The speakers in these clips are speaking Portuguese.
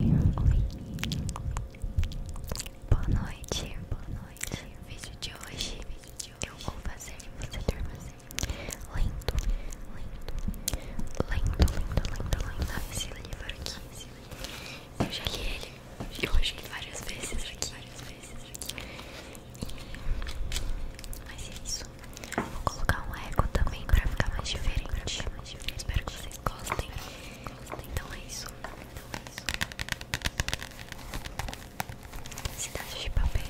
boa noite, boa noite. O vídeo de hoje, vídeo de hoje. eu vou fazer você dormir lento, lento, lento, lento, lento, lento. Ah, esse livro aqui, esse livro. eu já li ele, eu já li várias vezes aqui, várias vezes aqui. Mas é isso. Vou colocar um eco também para ficar mais diferente. Espero que vocês gostem. Então é isso. Então é isso. Cidade de papel.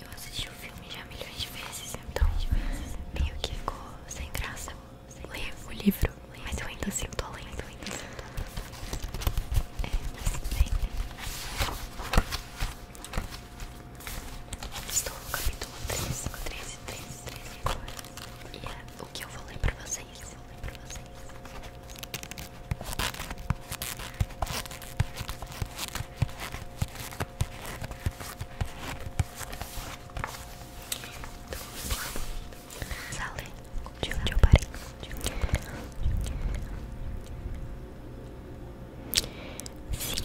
Eu assisti o filme já milhões de vezes, então meio que ficou sem graça ler o livro. Mas eu ainda sinto além, eu ainda sinto É, mas tem. Estou no capítulo 13, 13, 13, 13 agora. E é o que eu vou ler pra vocês. Eu vou ler pra vocês. Então, Salve de onde eu parei. Sim,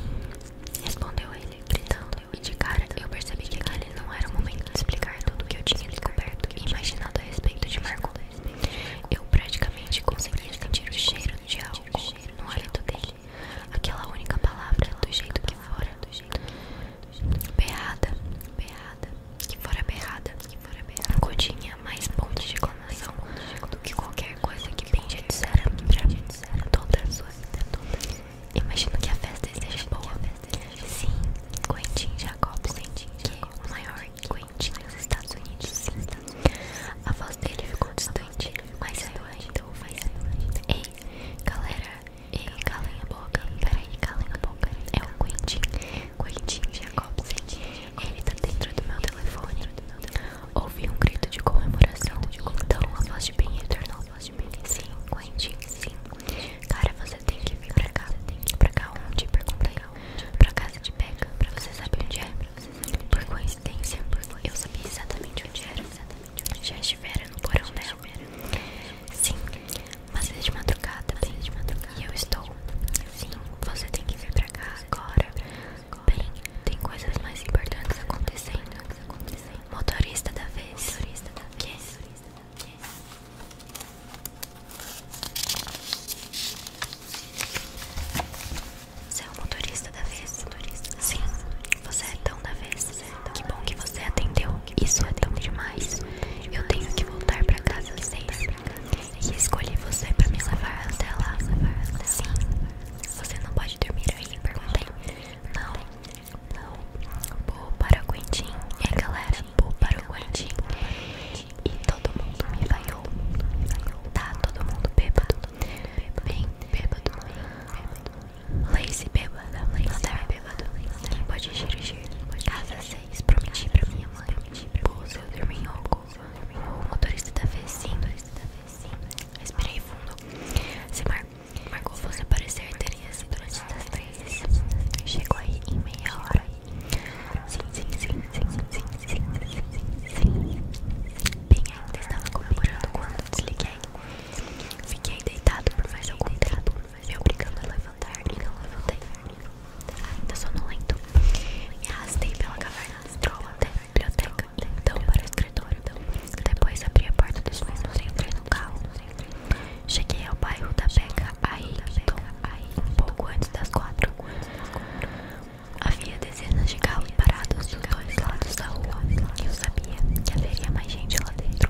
respondeu ele, gritando. E de cara eu percebi que aquele não era o momento de explicar tudo que eu tinha descoberto e imaginado a respeito de Marco. Eu praticamente conseguia sentir o cheiro do de álcool no hálito dele. Aquela única palavra do jeito que fora. Berrada, berrada, que fora berrada, que fora berrada. Godinha, mais ponte de exclamação do que qualquer coisa que bem já dissera toda a sua vida, toda. Imagino que a festa esteja boa. Sim, Quentin Jacobsen, que é o maior Quentin dos Estados Unidos. Sim, a voz dele ficou distante, mas eu ainda o faz. Ei, galera, Ei, calem a boca, peraí, calem a boca. É o Quentin, Quentin Jacobsen. Ele tá dentro do meu telefone. Ouvi um grito de comemoração. Então a voz de Ben retornou. Sim, Quentin, sim. Cara, você tem que vir pra cá. Pra cá onde? Perguntei. Pra casa de Becca. Pra você saber onde é? Por coincidência, eu sabia exatamente onde era. Já estiveram no porão dela. Sim, mas é madrugada, bem é madrugada. E eu estou. Sim, você tem que vir pra cá agora. Bem, tem coisas mais importantes acontecendo. Motorista da vez. Motorista da vez. Você é o motorista da vez. Motorista. Sim, você é tão da vez. Que bom que você atendeu. Isso é tão demais. Eu tenho que voltar pra casa às seis. E escolher você pra me levar até lá. Sim. Você não pode dormir aí? Perguntei. Não. Não. Vou para o Quentin. É galera, vou para o Quentin. E todo mundo me vaiou. Tá todo mundo bêbado. Bem bêbado. Bêbado. Lazy beba, Lazy bêbado, quem pode dirigir? Casa 6, prometi pra minha mãe, prometi Pouso, eu dormi em Oco, o motorista da da sim, respirei fundo, se mar marcou você parecer teria sido antes das três. chegou aí em meia hora, sim, sim, sim, sim, sim, sim, sim, sim, sim, bem ainda estava comemorando quando desliguei, fiquei deitado por mais algum tempo, mas eu brincando a levantar, Ainda sou no lento. E arrastei pela caverna astral até a biblioteca, então para o escritório. Depois abri a porta dos fundos e entrei no carro. Cheguei ao bairro da Beca, aí, aí, um pouco antes das quatro. Havia dezenas de carros parados dos dois lados da rua. e Eu sabia que haveria mais gente lá dentro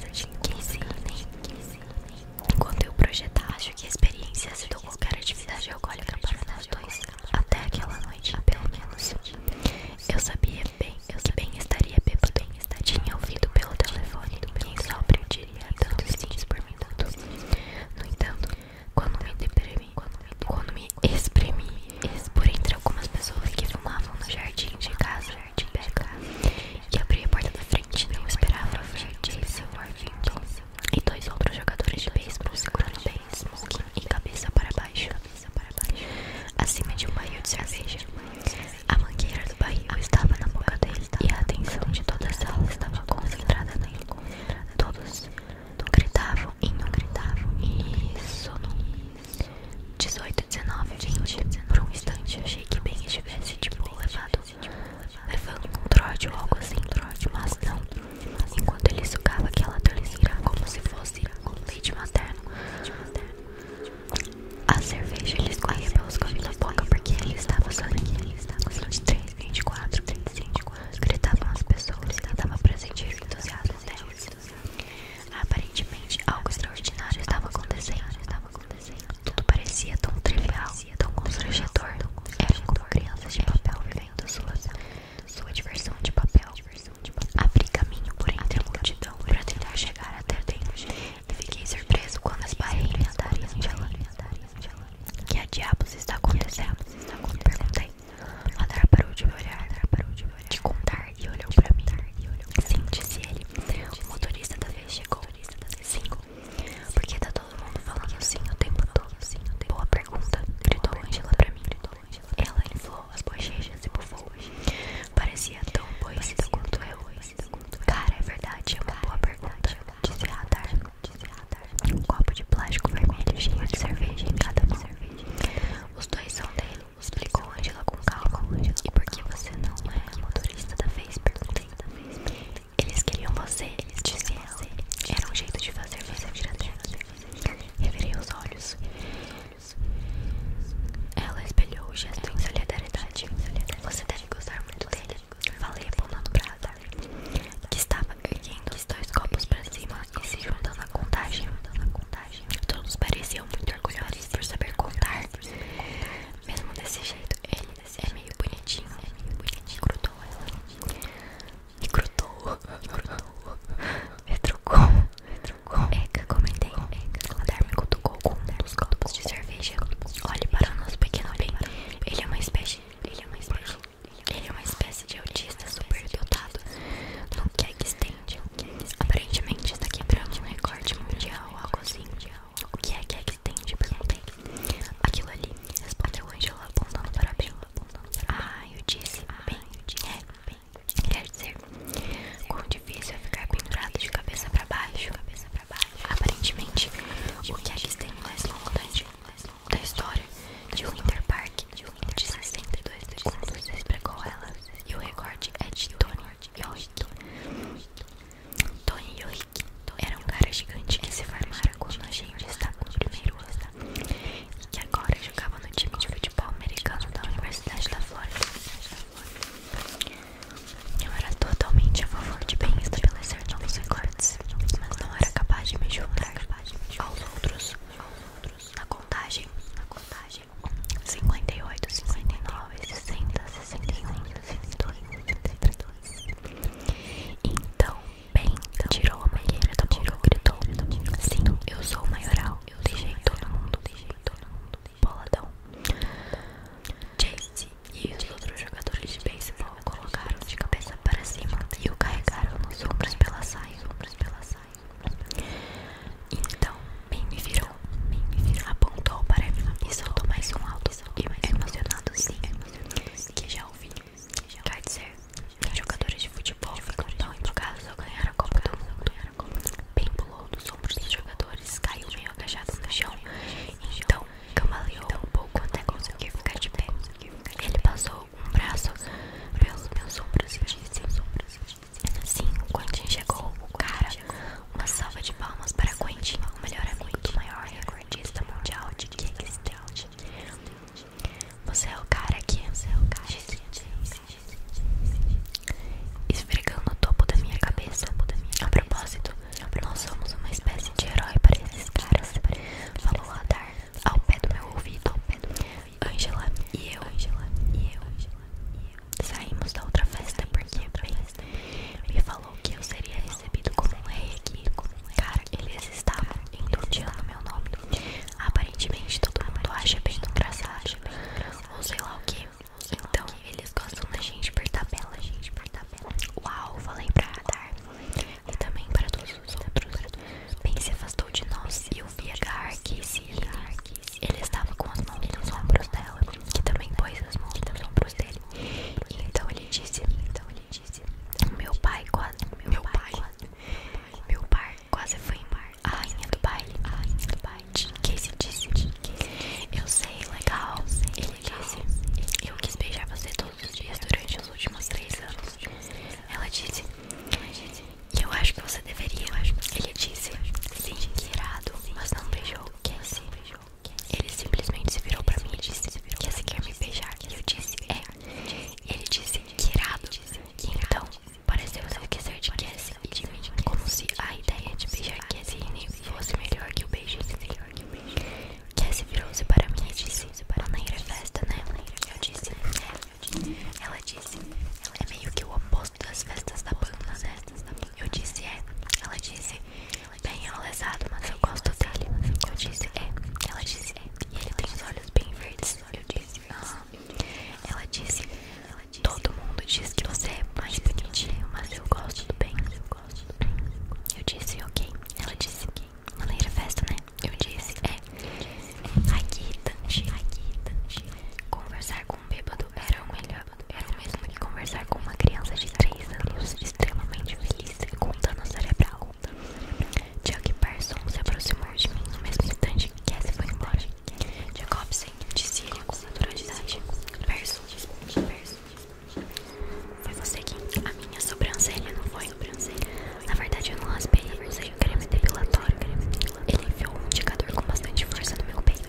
casa de Inquisidem. Enquanto eu projetar, acho que a experiência ajudou qualquer atividade alcoólica para nós dois. Até aquela noite, pelo menos. Eu sabia bem, eu que bem estaria bêbado. Tinha ouvido pelo telefone quem só eu diria tantos sims por minuto. No entanto, quando me deprimi, quando me exprimi, por entre algumas pessoas que fumavam no jardim de casa, Verde Becca e abriu a porta da frente. Não esperava ver Jason Worthington e dois outros jogadores de beisebol segurando bem smoking e cabeça para baixo. Acima de um barril de cerveja, a mangueira do barril estava na boca dele e a atenção de todas elas estava concentrada nele. Todos gritavam e não gritavam. Isso não. 18, 19, 20, 19, por um instante achei que bem estivesse tipo levado, levando um trote ou algo assim, mas não. Enquanto ele sugava aquela toliceira como se fosse leite materno, a cerveja ele escorria pelos cantos da boca porque ele estava sangue. Os 23, 24, 35, gritavam as pessoas, dava pra sentir o entusiasmo Aparentemente, algo extraordinário estava acontecendo. Tudo parecia tão trivial, tão constrangedor. Eram como crianças de papel vivendo sua, sua diversão de papel. Abri caminho por entre a multidão para tentar chegar até dentro. E fiquei surpreso quando as barreiras andaram de Que a diabos está acontecendo? Perguntei. Ladar parou de me olhar. Parou de de contar e olhou pra mim. Sim, disse ele. O motorista da vez chegou. Sim. Por tá todo mundo falando assim o tempo todo? Boa pergunta, gritou Angela pra mim. Ela inflou as bochechas e bufou. Parecia tão boicida quanto eu. Cara, é verdade, é uma boa pergunta, disse Radar. Um copo de plástico vermelho cheio de cerveja cada mão. Os dois são dele. Explicou Angela com calma. E por você não é motorista da Facebook Eles queriam você, eles diziam você. Era um jeito de fazer você vir até aqui. os olhos. Ela espelhou o gesto em solidariedade. Você deve gostar muito dele. Falei apontando pra Azar, que estava erguendo os dois copos pra cima e se juntando à contagem. Todos pareciam muito orgulhosos por saber contar. Mesmo desse jeito, ele é meio bonitinho. é meio bonitinho grudou ela. E grudou. Me trocou. Eca, comentei. O Darwin cutucou com um dos copos de cerveja. Olhe para o nosso pequeno bem. Ele é uma espécie. Ele é uma espécie. Ele é uma espécie de autista superdotado. No que cake stand. Aparentemente está quebrando é um recorde mundial, algo assim. O que é cake é stand? Perguntei. Aquilo ali, respondeu Angela apontando para bem. Ah, eu disse bem. É, bem. Quer dizer, quão difícil é ficar pendurado de cabeça para baixo. Aparentemente, o que é que tem mais longo da história de Winter Park de 1 um de 62 quando você E o recorde é de Tony Yohiki. Tony Yohiki era um cara gigante que se formara quando a gente estava no primeiro ano e que agora jogava no time de futebol americano da Universidade da Flórida. Eu era totalmente a favor de bem estabelecer novos recordes, mas não era capaz de me juntar aos outros na contagem, na contagem 58, 59, 60, 61, 62, 63 Então, bem, então, tirou a mangueira da gritou Sim, eu sou o maioral, eu deixei todo mundo, deixei todo mundo boladão Chase e os outros jogadores de beisebol colocaram de cabeça para cima e o carregaram nos ombros pela saia, sombras pela saia então, bem me virou, me apontou para mim e soltou mais um alto e mais emocionado sim, que já ouvi. Quer dizer, que jogadores de futebol ficam tão empolgados ao ganhar a Copa do Mundo. Bem pulou dos ombros dos jogadores, caiu meio agachado no chão, então cambaleou então, um pouco então até conseguir ficar de pé. Ele passou um braço pelos meus sombras e disse: Sim, Quentin chegou. O cara, uma salva de palmas para Quentin, o melhor amigo do maior recordista mundial de Kicks Você é o cara que. Você é o cara que. Esfregando o topo da minha cabeça. A propósito, nós somos uma espécie de herói para esses caras. Falou a dar ao pé do meu ouvido. Angela e eu, saímos da outra festa porque bem, me falou que eu seria recebido como um rei aqui. Cara, eles estavam entudiando meu nome. Aparentemente todo mundo acha bem engraçado, ou sei lá o que. Então eles gostam da então, gente por tabela, gente por tabela. Uau, falei pra radar e também para todos os outros. Bem se afastou de nós e eu vi agarrar que se ele estava com as mãos nos ombros dela, que também pôs as mãos nos ombros dele. então ele disse, então ele disse, meu pai quase, meu pai, quase meu pai quase foi embora. A rainha do baile, a rainha do baile. Casey disse, eu sei, legal, ele disse, eu quis beijar você todos os dias durante os últimos três anos. Ela disse, e eu acho que você deveria. Ele disse sim, que irado, mas não beijou. Cassie. Ele simplesmente se virou pra mim e disse quer me beijar. Eu disse é. é. Ele disse que irado. então pareceu se esquecer de Cassie como se a ideia de beijar Cassie fosse melhor que o beijo. Cassie virou-se para mim e disse pertencem para Naira Festa, né? Eu disse, é, ela disse, ela é meio que o oposto das festas da banda, né? Eu disse, é, ela disse, é bem enlesado, mas eu gosto dele. Eu disse, é, ela disse, é, e ele tem os olhos bem verdes. Eu disse, não ah. ela disse, todo mundo diz que você é mais bonitinho, mas eu gosto do bem. Eu disse, ok. Ela disse, alguém. Maneira festa, né? Eu disse, é. é. Raquita, raquita. Conversar com um bêbado era o melhor. Era o mesmo que conversar com uma criança de 3 anos, extremamente feliz e com dano cerebral. Chuck Parson se aproximou de mim no mesmo instante que Cassie foi embora. Jacobsen disse ele com naturalidade. Parson, Parson. Foi você quem? A minha sobrancelha não foi? Na verdade, eu não raspei, eu usei um creme depilatório. Ele enfiou um indicador com bastante força no meu peito.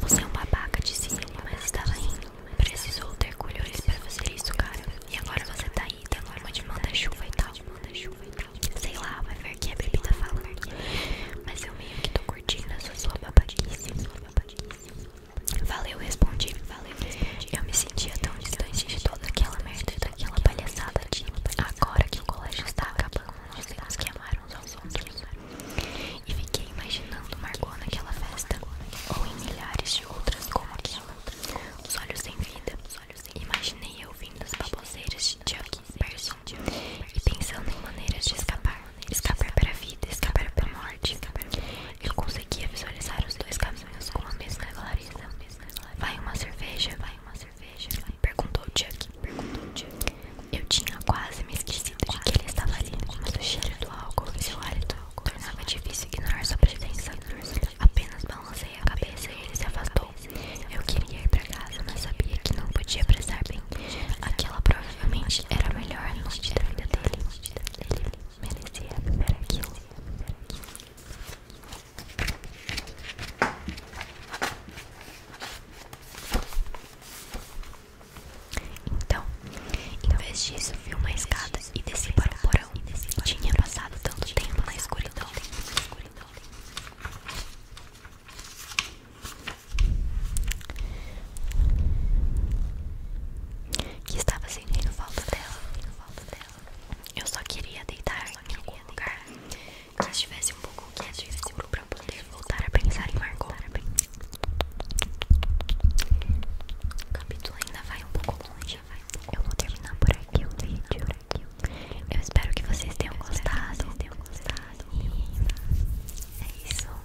Você é um babaca, disse ele, mas estava indo, Precisou ter colhões para fazer isso, cara. E agora você tá aí, tem uma de manda-chuva e tal. Sei lá, vai ver que a bebida tá fala. Mas eu meio que tô curtindo sou sua babadice. Sua Valeu, respondi. Valeu, respondi. Eu me sentia tão distante de toda aquela merda e daquela palhaçada de agora que o colégio estava acabando, os temos que amar uns aos E fiquei imaginando Margot naquela festa, ou em milhares de outras como aquela. Os olhos sem vida, os olhos sem imaginei eu vindo as baboseiras de Chuck Person e pensando em maneiras de escapar escapar para a vida, escapar para a morte. Eu conseguia visualizar os dois caminhos com a mesma clareza. Vai uma cerveja, vai uma cerveja. Perguntou o Chuck. Eu tinha quase me esquecido de que ele estava ali, mas o cheiro do álcool e seu hálito tornava difícil ignorar sua presença. Apenas balancei a cabeça e ele se afastou. Eu queria ir para casa, mas sabia que não podia prestar bem. Aquela provavelmente era a melhor noite da vida dele partida dele merecia viver aquilo. Então, em vez disso, vi uma escada e desci para o porão. Tinha passado tanto tempo na escuridão. Que estava sentindo falta dela, dela. Eu só queria deitar só em lugar que estivesse um pouco quieto e seguro para poder voltar a pensar em Margot. O capítulo ainda vai um pouco longe, vai. Eu vou terminar por aqui o vídeo. Eu espero que vocês tenham gostado. Tenham gostado. E é isso.